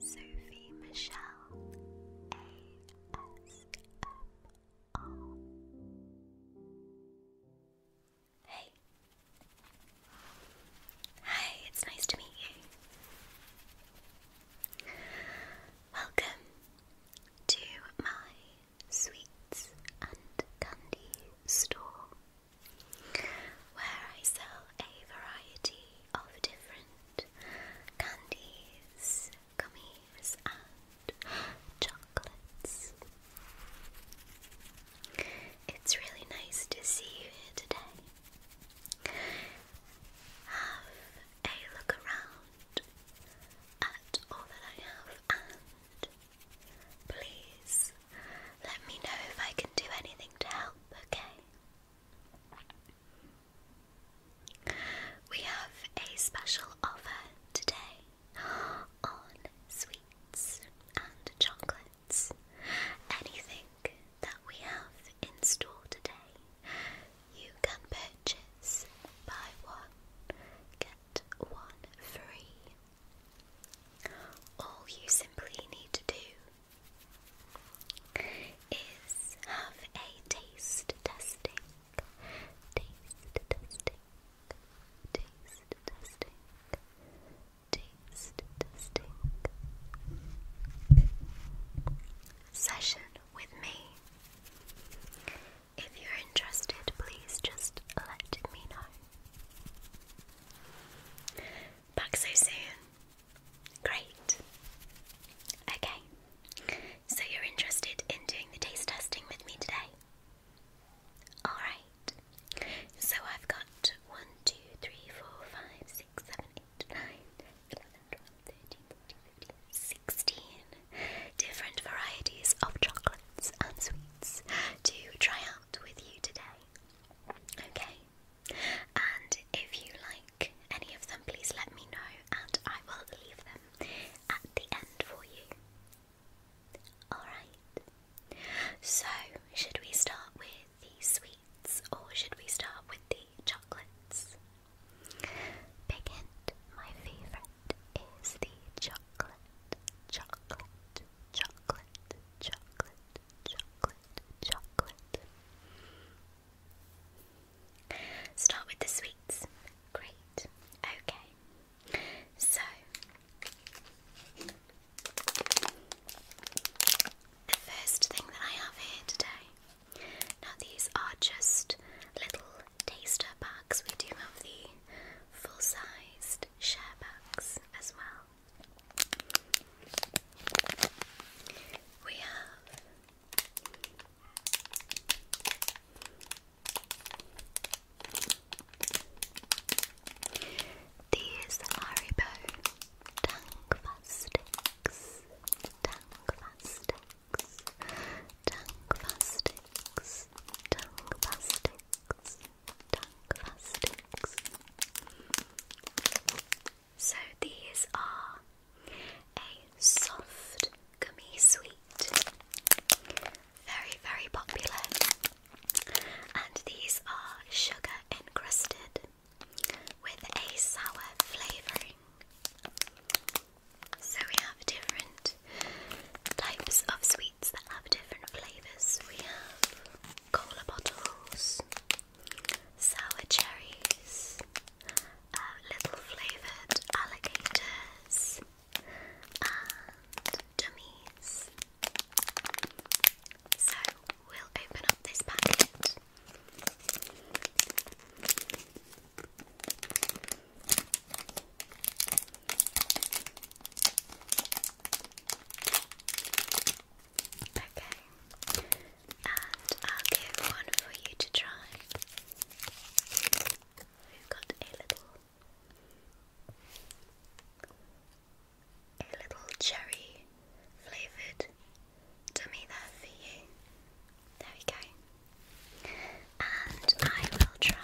Sophie Michelle ASMR. Hey. Hi, it's nice to meet you. Welcome to my sweets and candy store where I sell a variety of different candies, gummies, and chocolates. It's really nice to see you here today. Have a look around at all that I have, and please let me know if I can do anything to help, okay? We have a special offer today on sweets and chocolates. Anything that we have in store today, you can purchase by one, get one free. All you simply need to do is have a taste testing. Taste testing. Taste testing. Taste testing. Session with me. If you're interested, please just let me know. Back so soon. Great. Okay. So you're interested in doing the taste testing with me today? Alright. So I've got 1, different varieties of chocolates and sweets to try out with you today. Okay, and if you like any of them, please let me know and I will leave them at the end for you. Alright. So, should we start with the sweets or should we start with the chocolates? Big hint, my favourite is the chocolate, chocolate, chocolate, chocolate, chocolate chocolate, Start with the sweets. Great. Okay. So the first thing that I have here today. Now these are just little taster bags. We do have the full-sized share bags as well. We have these Haribo tongue plastics, tongue plastics, tongue plastics, so these are a soft gummy sweet, very, very popular, and these are sugar encrusted with a sour flavouring. So we have different types of sweets that have different flavours. We have cola bottles, sour cherries, uh, little flavoured alligators, and So we'll open up this packet. Okay. And I'll give one for you to try. We've got a little a little cherry flavoured dummy there for you. There we go. And I will try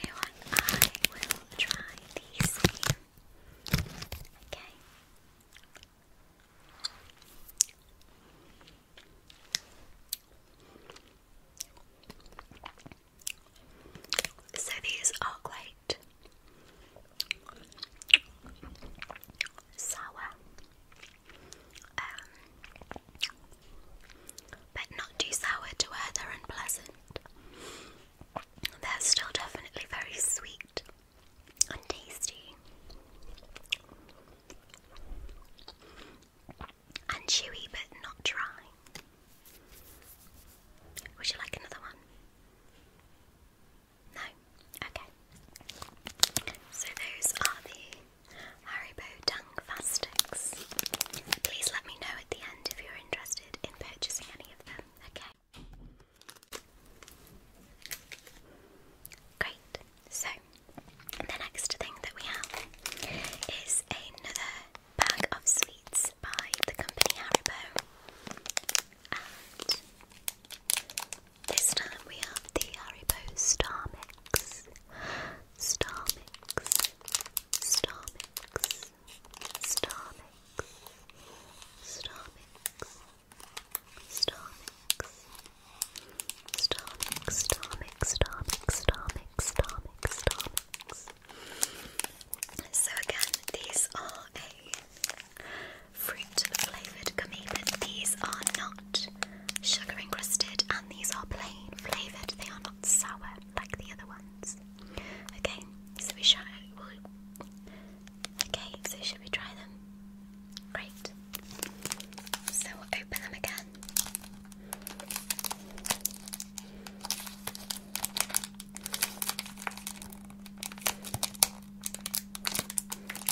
you know what? I will try the Okay. So these are quite sour, um, but not too sour to where they're unpleasant. They're still definitely very sweet and tasty and chewy but not dry. Would you like another one? No? Okay. So those are the Haribo Tongue Fastics. Please let me know at the end if you're interested in purchasing any of them, okay? Great. So, the next thing that we have is another bag of sweets by the company Haribo. this time we have the Haribo Star Mix. Star Mix. Star Mix stomachs, stomachs, stomachs, stomachs, stomachs, stomachs, stomachs, stomachs, stomachs. So again, these are a fruit-flavored gummy, but these are not sugar encrusted and these are plain flavored. They are sour like the other ones. Okay, so we shall. Okay, so should we try them? Great. So open them again.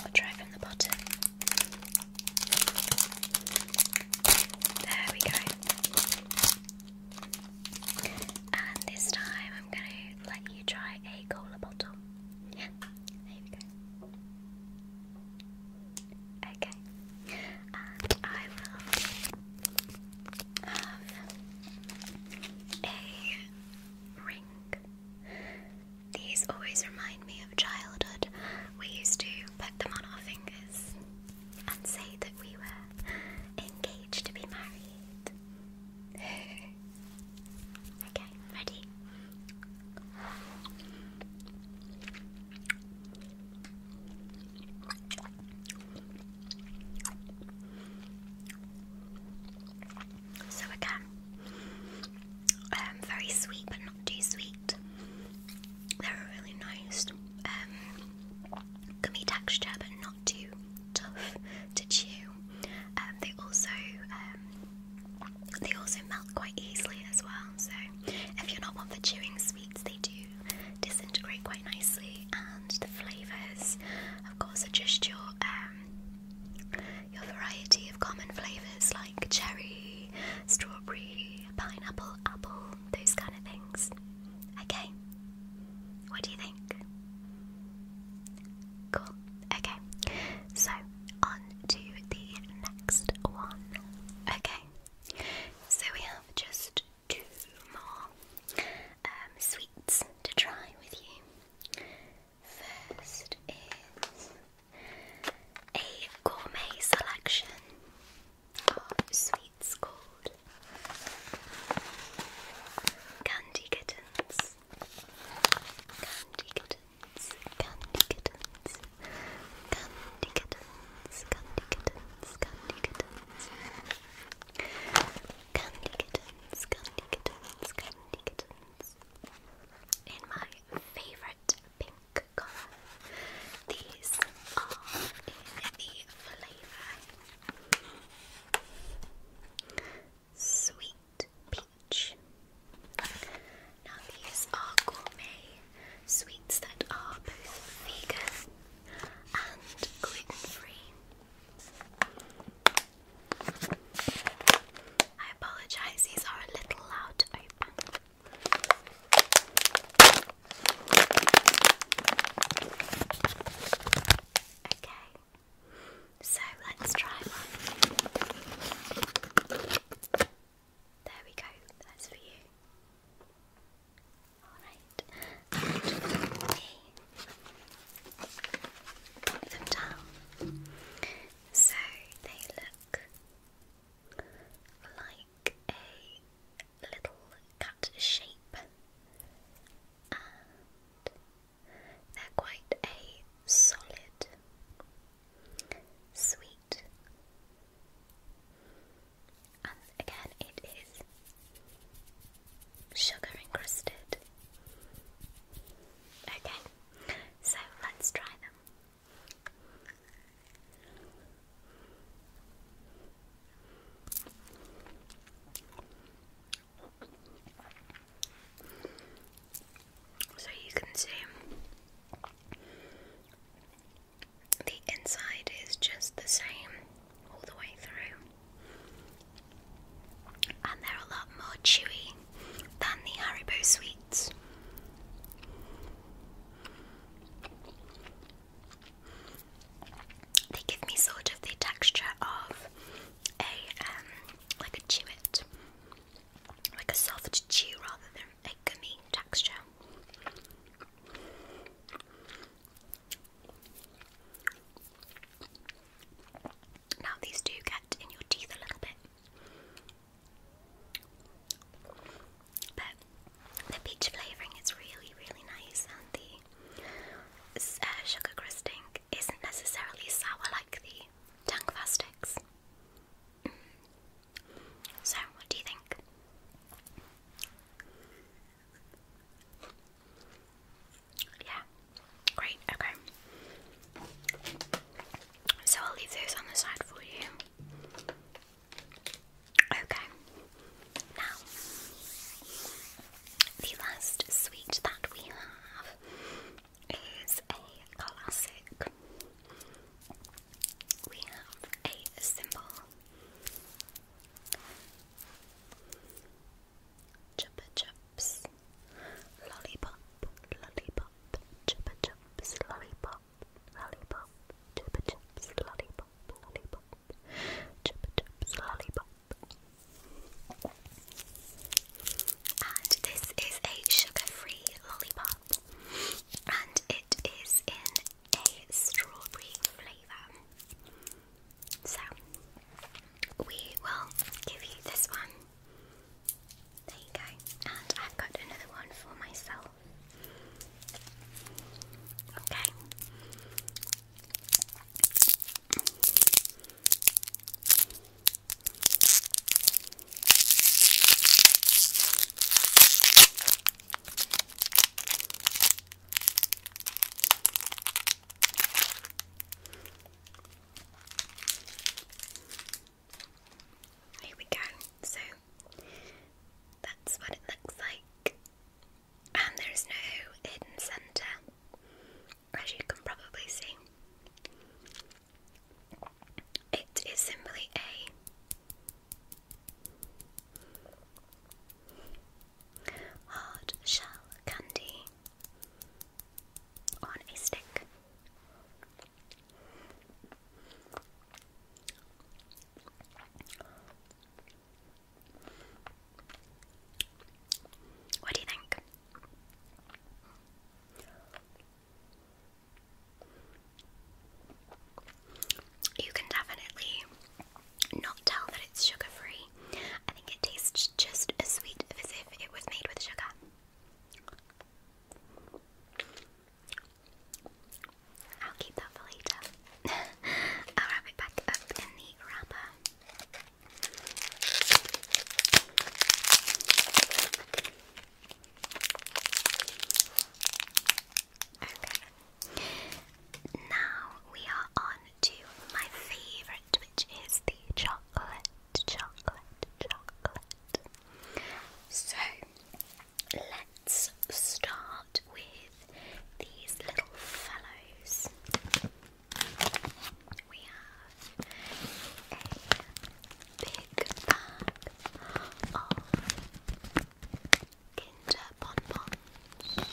We'll try from the bottom. There we go. And this time I'm gonna let you try a cola bottle. Yeah, Okay, I will have a ring. These always remind me of childhood. We used to put them on our fingers and say that we were engaged to be married. okay, ready? So again, um, very sweet but not too sweet. They're really nice um, gummy texture but not too tough to chew. Um, they also um, they also melt quite easily as well. So if you're not one for chewing sweets, they do disintegrate quite nicely, and the flavours, of course, are just your um, your variety of common flavours like cherry, strawberry, pineapple, apple, those kind of things. Okay, what do you think? Cool. Okay. So, on to the next one. Okay. So, we have just two more um, sweets to try with you. First is a gourmet selection Oh, sweet scold. Candy kittens. Candy kittens. Candy kittens. Candy kittens. Candy kittens. Candy kittens. Candy kittens. Candy kittens. Candy kittens. In my favorite pink color, these are in the Sweet peach. Now these are gourmet sweets that are both vegan and gluten-free. I apologize, these are a little loud Okay, so let's try one. There we go, that's for you. Alright, and them down so they look like a little cut shape, and they're quite a solid, sweet, and again it is sugar encrusted. Okay, so let's try them. So you can see the inside is just the same all the way through, and they're a lot more chewy than the Haribo sweets they give me sort of the texture of a um, like a chewit, like a soft chew rather than a gummy texture. Now these do get in your teeth a little bit. But the peach flavoring is really, really nice, and the uh, sugar crusting isn't necessarily sour like the Tangfa sticks. Mm. So, what do you think? Yeah, great, okay. So I'll leave those on the side for you. Okay, now the last sweet that we have is a classic. We have a symbol. Chupa chups, lollipop, lollipop, chupa chups, lollipop, lollipop, chupa chups, lollipop, lollipop, lollipop. Chupa lollipop. And this is a sugar-free lollipop. And it is in a strawberry flavour. So we will give you this one. There you go. And I've got another one for myself Okay. Here we go. So that's what it looks like. And there's no hidden centre, as you can probably see. It is simply a hard shell candy on a stick. What do you think? You can definitely not tell that it's sugar free. I think it tastes just as sweet as if it was made with sugar. I'll keep that for later. I'll wrap it back up in the wrapper. Okay. Now we are on to my favourite, which is the chocolate, chocolate, chocolate. So, let's start with these little fellows. We have a big bag of Kinder bonbons,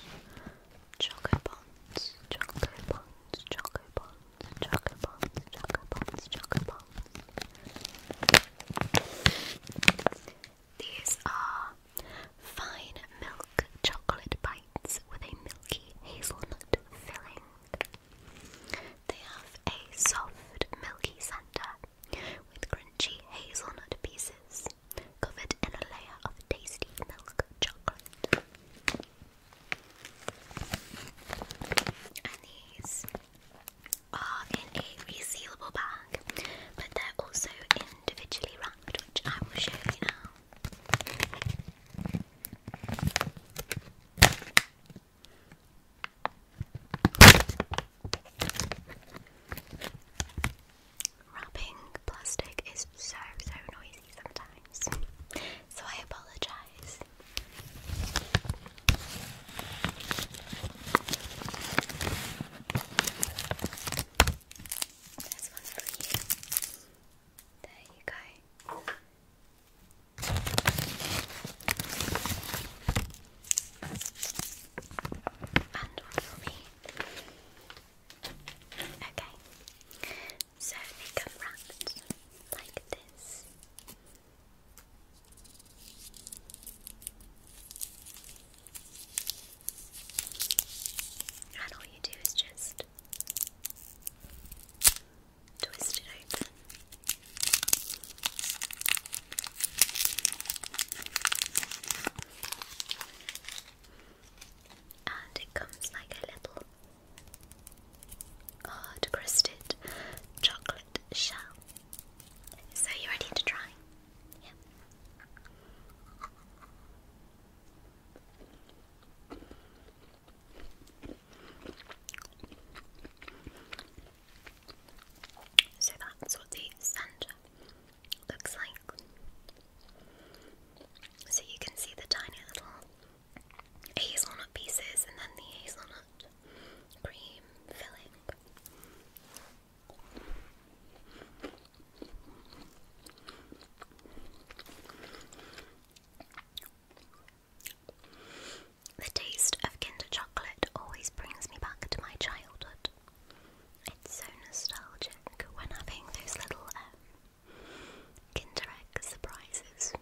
choco bonds, choco bonds, choco bonds, choco bonds, choco bonds, these are fine milk chocolate bites with a milky hazelnut filling. They have a soft, milky centre with crunchy hazelnut pieces covered in a layer of tasty milk chocolate. And these are in a resealable bag, but they're also individually wrapped, which I will show you now. Wrapping plastic is so, so noisy sometimes, so I apologise. This one's for you. There you go. And one for me. Okay. So they come wrapped like this. And all you do is just twist it open. And it comes like a little hard crusted chocolate shell. So, you ready to try? Yeah. So that's what the centre looks like. So you can see the tiny little hazelnut pieces and then the hazelnut cream filling. The taste of Kinder chocolate always brings me back to my childhood. It's so nostalgic when having those little um, Kinder Egg surprises.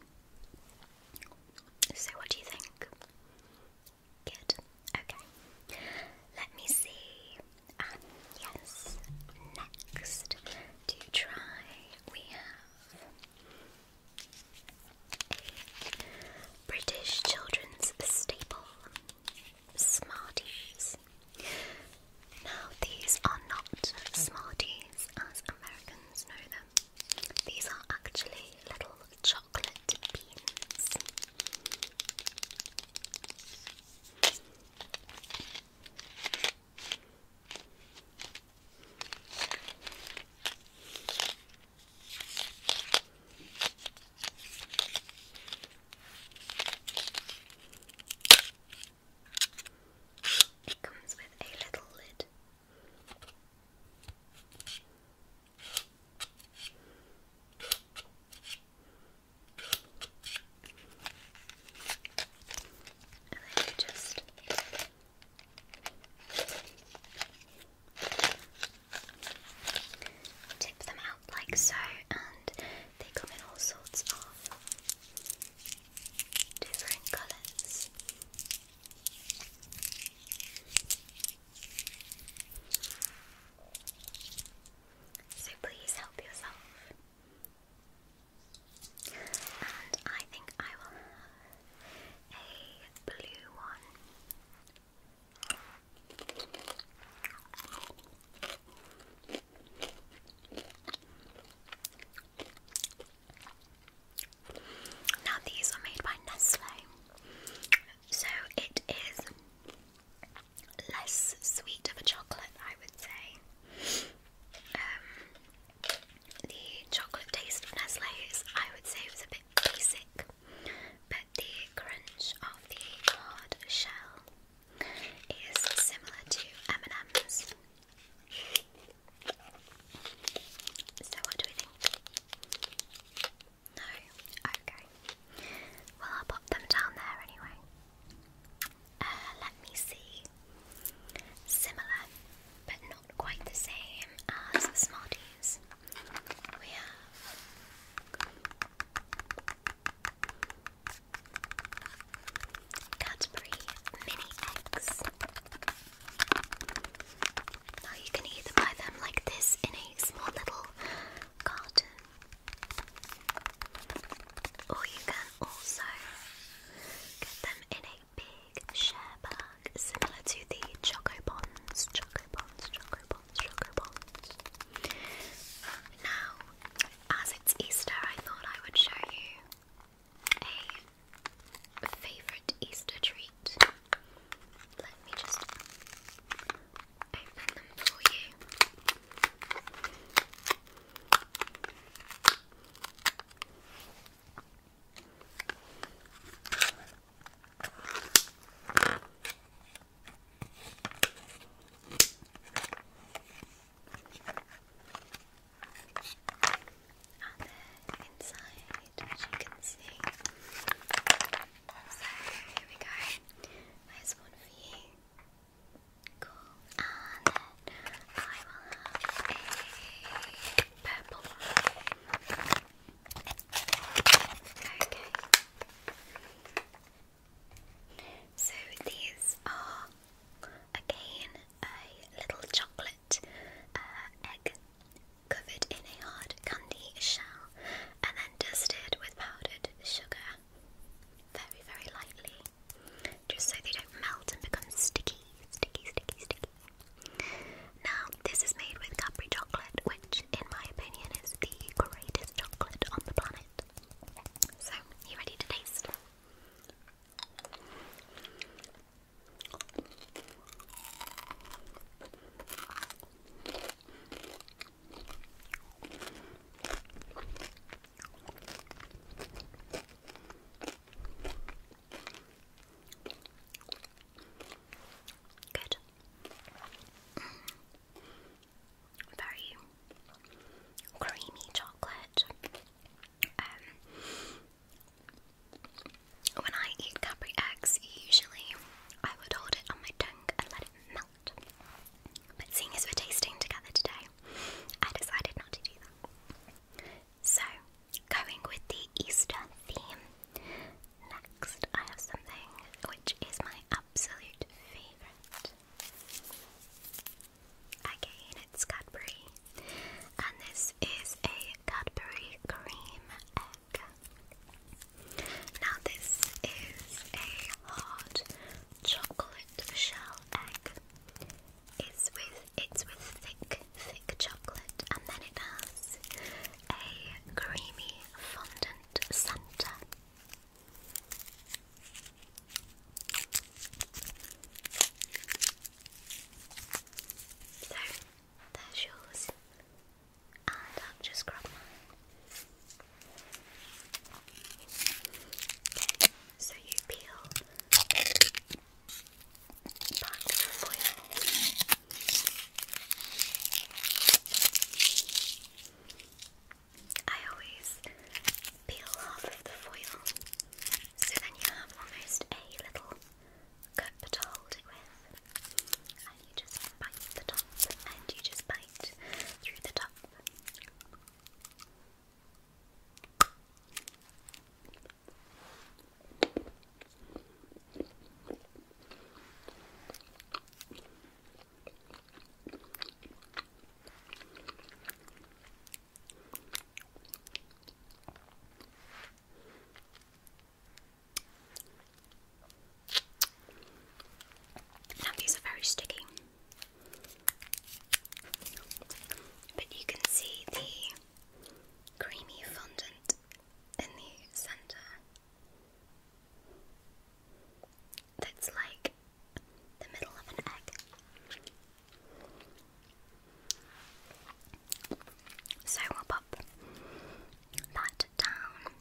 So, what do you think? Good. Okay. Let me see. Um, yes. Next to try, we have British children's staple, Smarties. Now, these are not Smarties as Americans know them. These are actually little chocolate to beans. It comes with a little lid. And you just tip them out like so, and they come in all sorts of different colours. So please help yourself. And I think I will have a blue one. Now, these are made by Nestle, so it is less sweet of a chocolate, I would say. Um, the chocolate taste of Nestle is, I would say, was a bit basic, but the crunch of the hard shell is similar to M&M's. So, what do we think? No? Okay. Well, I'll pop them down there anyway. Uh, let me see. Similar, but not quite the same as Smarties. We have Cadbury Mini Eggs. Now you can either them like this in a small little garden. Or you can also get them in a big share bag, similar to the Choco Bonds, Choco Bonds, Choco Bonds, Choco Bonds. Now, as it's Easter, I thought I would show you a favourite Easter treat. Let me just open them for you. Are they inside? as you can see. So, here we go. There's one for you. Cool. And then I will have a purple one. Okay. So, these are again a little chocolate uh, egg covered in a hard candy shell and then dusted with powdered sugar very, very lightly just so they don't melt and become sticky, sticky, sticky, sticky. Now, this is made with Cadbury chocolate, which, in my opinion, is the greatest chocolate on the planet. So, you ready to taste? Good. Very creamy chocolate. Um, when I eat Capri eggs, usually I would hold it on my tongue and let it melt. But seeing as we're tasting together today, I decided not to do that. So, going with the Easter theme, next I have something which is my absolute favourite. Again, it's Cadbury, and this is a Cadbury cream now this is a hard chocolate shell egg. It's with it's with thick, thick chocolate, and then it has a creamy fondant centre. So there's yours and I'll just grab mine. so you peel back the foil. I always peel half of the foil, so then you have almost a little cup to hold it with, and you just bite the top, and you just bite through the top these are very sticky. But you can see the creamy fondant in the center. That's like the middle of an egg. So we'll pop that down.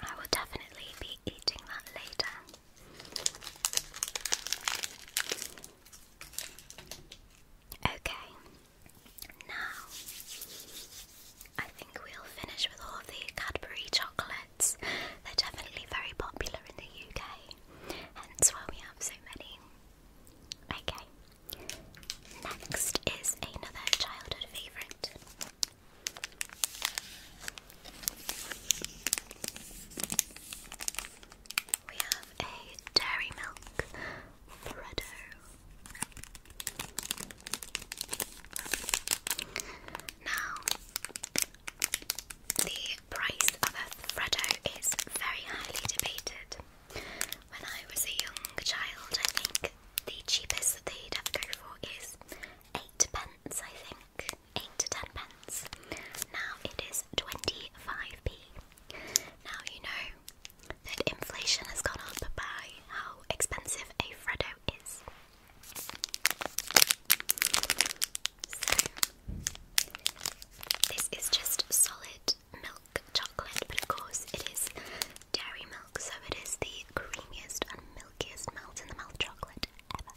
I will definitely be eating that later. Okay, now I think we'll finish with all the Cadbury chocolates. They're definitely very popular in the UK, hence why we have so many. Okay, Next is another childhood favourite. We have a dairy milk Freddo. Now, the price of a Freddo is very highly debated. When I was a young child, I think the cheapest that they'd ever go for is eight pence, I think. Eight to ten pence. Now it is 25p. Now you know that inflation has gone up by how expensive a Freddo is. So, this is just solid. Milk chocolate, but of course it is dairy milk, so it is the creamiest and milkiest melt in the mouth chocolate ever.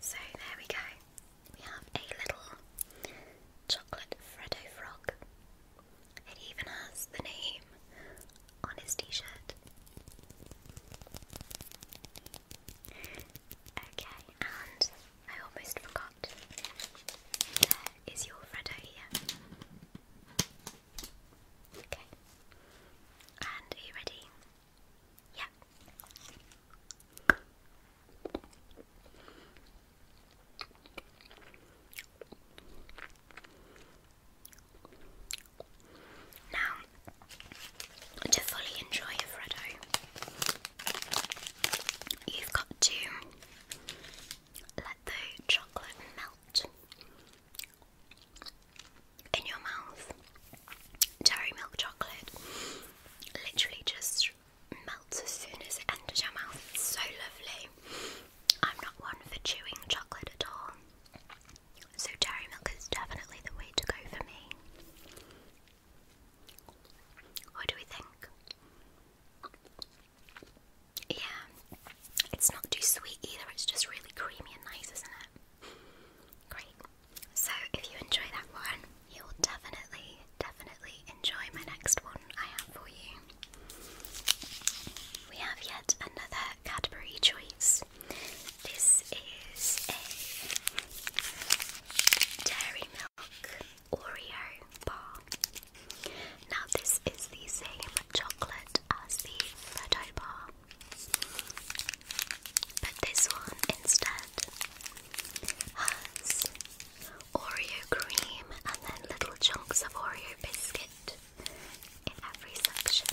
So there we go. We have a little chocolate Freddo frog it even has the name on his t shirt. Okay, and I almost forgot. There is your Freddo here. Okay. And are you ready? Yeah. Now, to fully enjoy Alfredo, you've got to let the chocolate melt in your mouth. Dairy milk chocolate literally just melts as soon as it enters your mouth. It's so lovely. I'm not one for chewing chocolate at all, so dairy milk is definitely the way to go for me. What do we think? Yeah, it's not too sweet either, it's just really creamy and nice, isn't it? Great. So, if you enjoy that one, you will definitely, definitely enjoy my next one I have for you. We have yet another Cadbury choice. This is a dairy milk Oreo bar. Now, this is the same chocolate as the Freddo bar, but this one instead has Oreo cream, and then little chunks of Oreo biscuit in every section.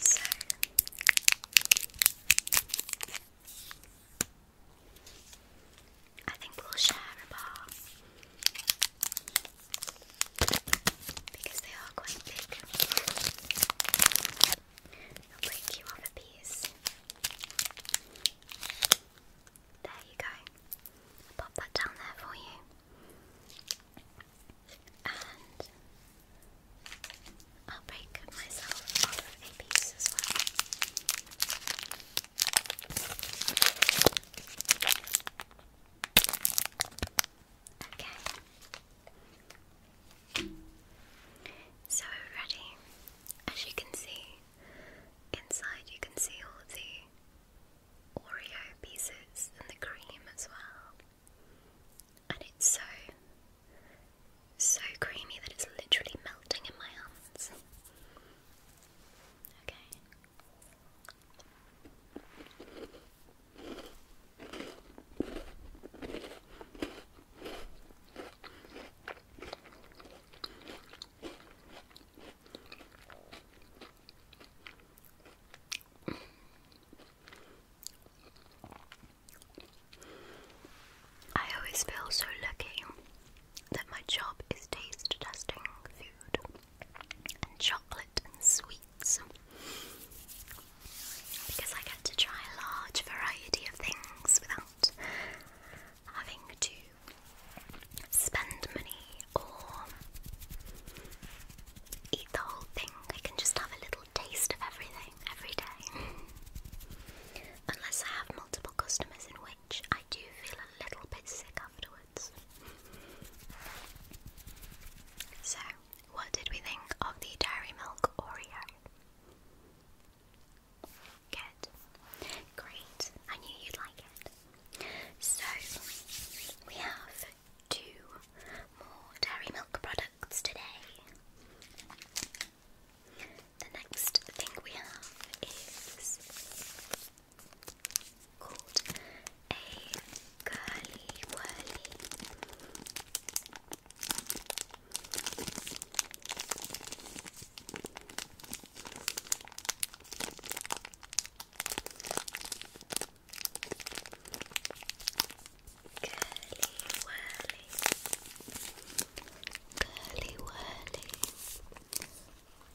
So, I think we'll share a bar because they are quite big. I'll break you off a piece. There you go. Pop that down there for you. And I'll break myself off a piece Okay. So ready. As you can see, inside you can see all the Oreo pieces and the cream as well. And it's so so creamy that it's literally melting in my hands. Okay. I always feel so lucky that my job is taste testing food and chocolate and sweets because I get to try a large variety of things without having to spend money or eat the whole thing. I can just have a little taste of everything every day. Unless I have multiple customers, in which I do feel a little bit sick afterwards. So, what did we think of the Dairy Milk Oreo? Good. Great. I knew you'd like it. So, we have two more Dairy Milk products today. The next thing we have is called a curly whirly. Curly whirly, curly whirly,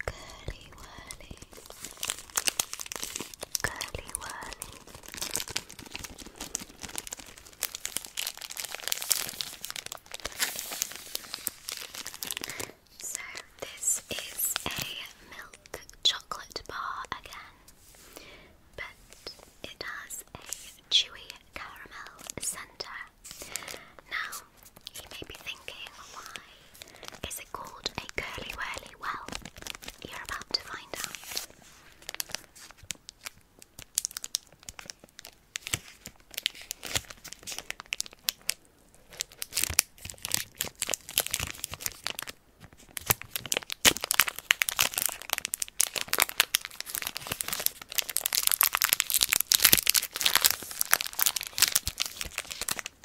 Curly whirly, curly whirly. So this is a milk chocolate bar again, but it has a chewy caramel centre. Now you may be thinking, why is it called a curly whirly? Well, you're about to find out.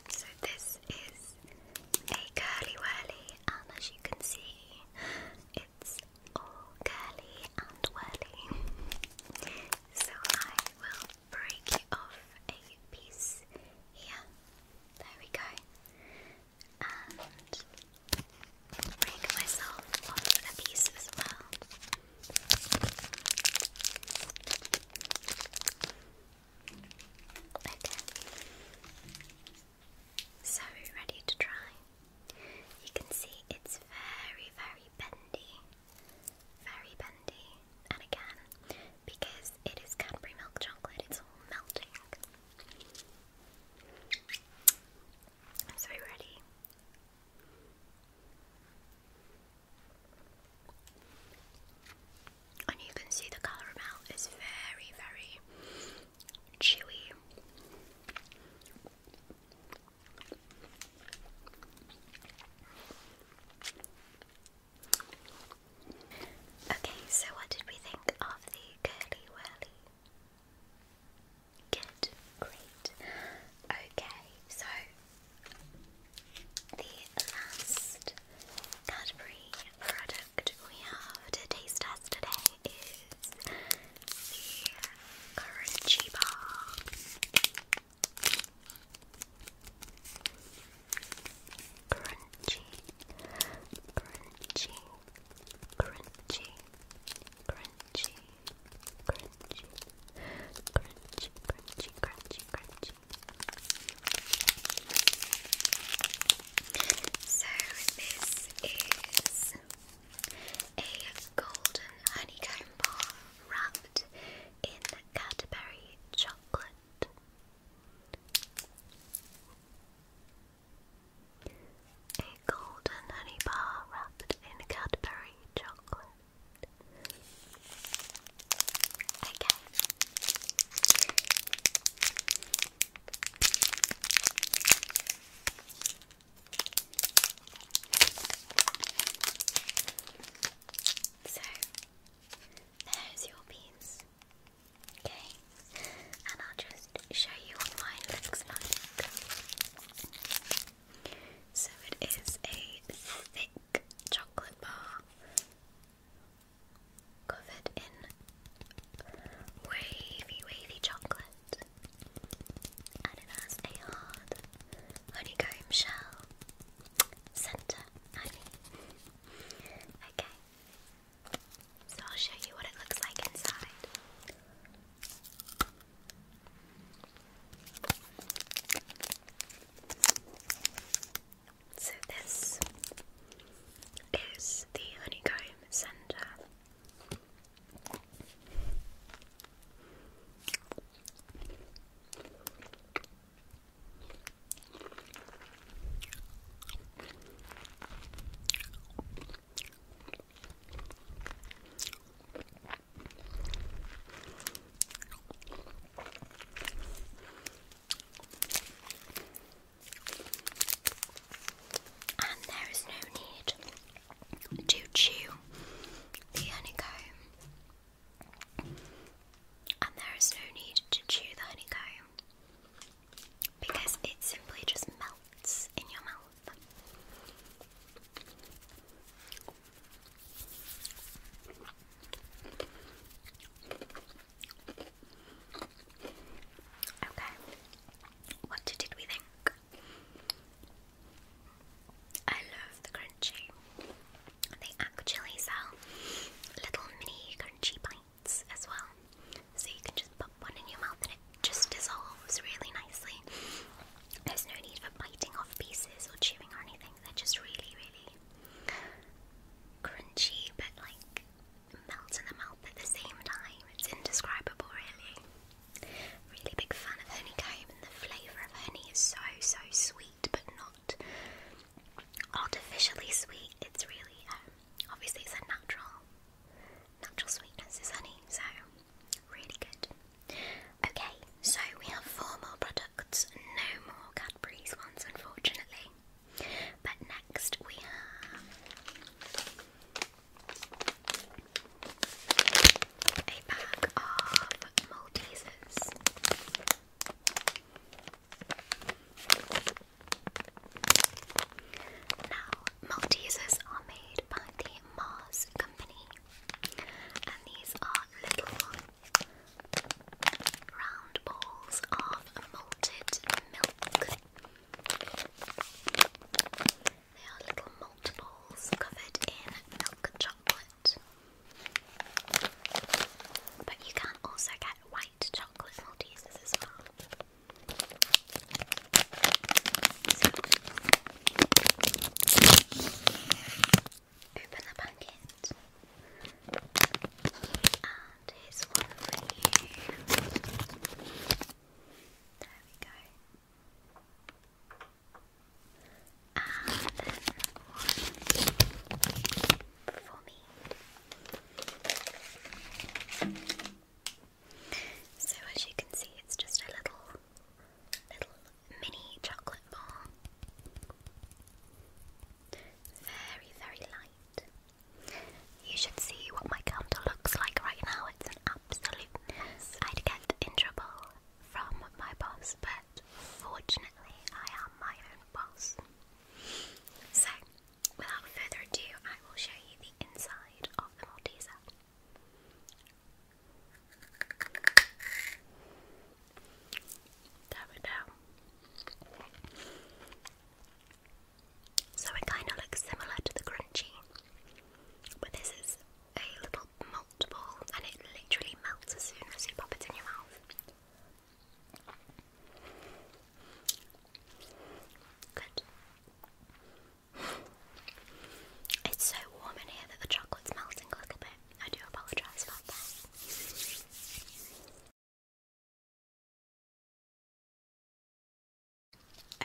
So this is a curly whirly, and as you can see, it's all curly and whirly. So I will break off a piece here. There we go. And break myself off a piece as well. So ready to try. You can see it's very, very bendy. Very bendy. And again, because it is Cadbury milk chocolate, it's all melting. So ready. And you can see the caramel is very, very chewy. Okay, so what did we think of the curly whirly? Good, great. Okay, so the last Cadbury product we have to taste test today is the Crunchy Bar. Crunchy, crunchy, crunchy, crunchy, crunchy, crunchy, crunchy, crunchy, crunchy, so this is a golden honeycomb bar wrapped in Canterbury chocolate. A golden honey bar wrapped in Cadbury chocolate. Okay. So, there's your piece. Okay, and I'll just show you what mine looks like. So, it is a thick chocolate bar covered in wavy, wavy chocolate, and it has a hard honeycomb shell center. okay. So I'll show you what it looks like inside. So this is the honeycomb center. And there is no need to chew the honeycomb. And there is no need to chew the honeycomb because it simply just melts in your mouth. Okay. What did we think? I love the crunchy. They actually sell little mini crunchy bites as well. So you can just pop one in your mouth and it just dissolves really nicely. There's no need for biting off pieces or chewing or anything. They're just really, really crunchy, but like melt in the mouth at the same time. It's indescribable, really. Really big fan of honeycomb, and the flavour of honey is so, so sweet, but not artificially sweet. It's really, um, obviously, it's a natural, natural sweetness is honey, so really good. Okay, so we have four more products, no more Cadbury's ones unfortunately. But next we have a bag of Maltesers. Now, Maltesers are made by the Mars Company, and these are little Round balls of malted milk. They are little malt balls covered in milk chocolate. But you can also get white chocolate Maltesers as well. Open the packet. And here's one for you. There we go. And one for me. So as you can see, it's just a little, little mini chocolate bar. Very, very light. You should see what my counter looks like right now. It's an absolute mess. I'd get in trouble from my boss, but fortunately, I am my own boss. So, without further ado, I will show you the inside of the Malteser. There we go. So it kind of looks similar to the crunchy, but this is a little malt ball and it literally melts as soon as you pop it in your mouth. Good. It's so warm in here that the chocolate's melting a little bit. I do apologize about that.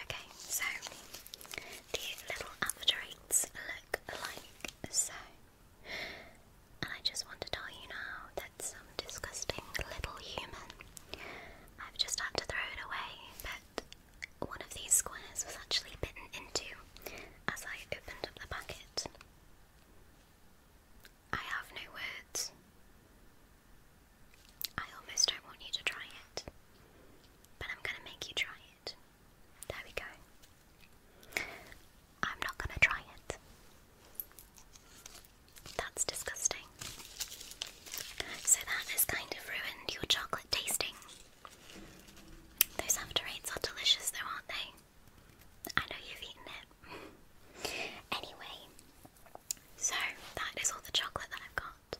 Okay, so the little avatarites look like so. And I just want to tell you now that some disgusting little human. I've just had to throw it away, but one of these squares was actually bitten into as I opened up the packet. I have no words. I almost don't want you to try it, but I'm gonna make you try it. There we go. I'm not gonna try it. That's disgusting. So that has kind of ruined your chocolate tasting. Those after eights are delicious though, aren't they? I know you've eaten it. anyway, so that is all the chocolate that I've got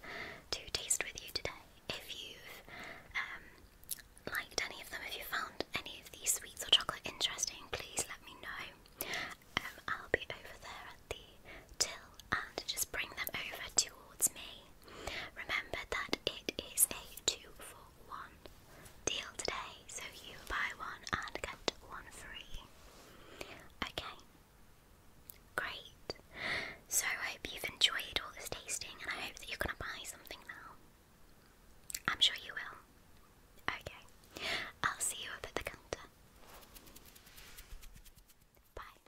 to taste with you today. If you've um, liked any of them, if you found any of these sweets or chocolate interesting, please let me know. Um, I'll be over there at the till and just bring them over towards me. Remember that it is a two for one deal today, so you buy one and get one free. Okay, great. So I hope you've enjoyed all this tasting, and I hope that you're gonna buy something now. I'm sure you will. Okay, I'll see you at the counter. Bye.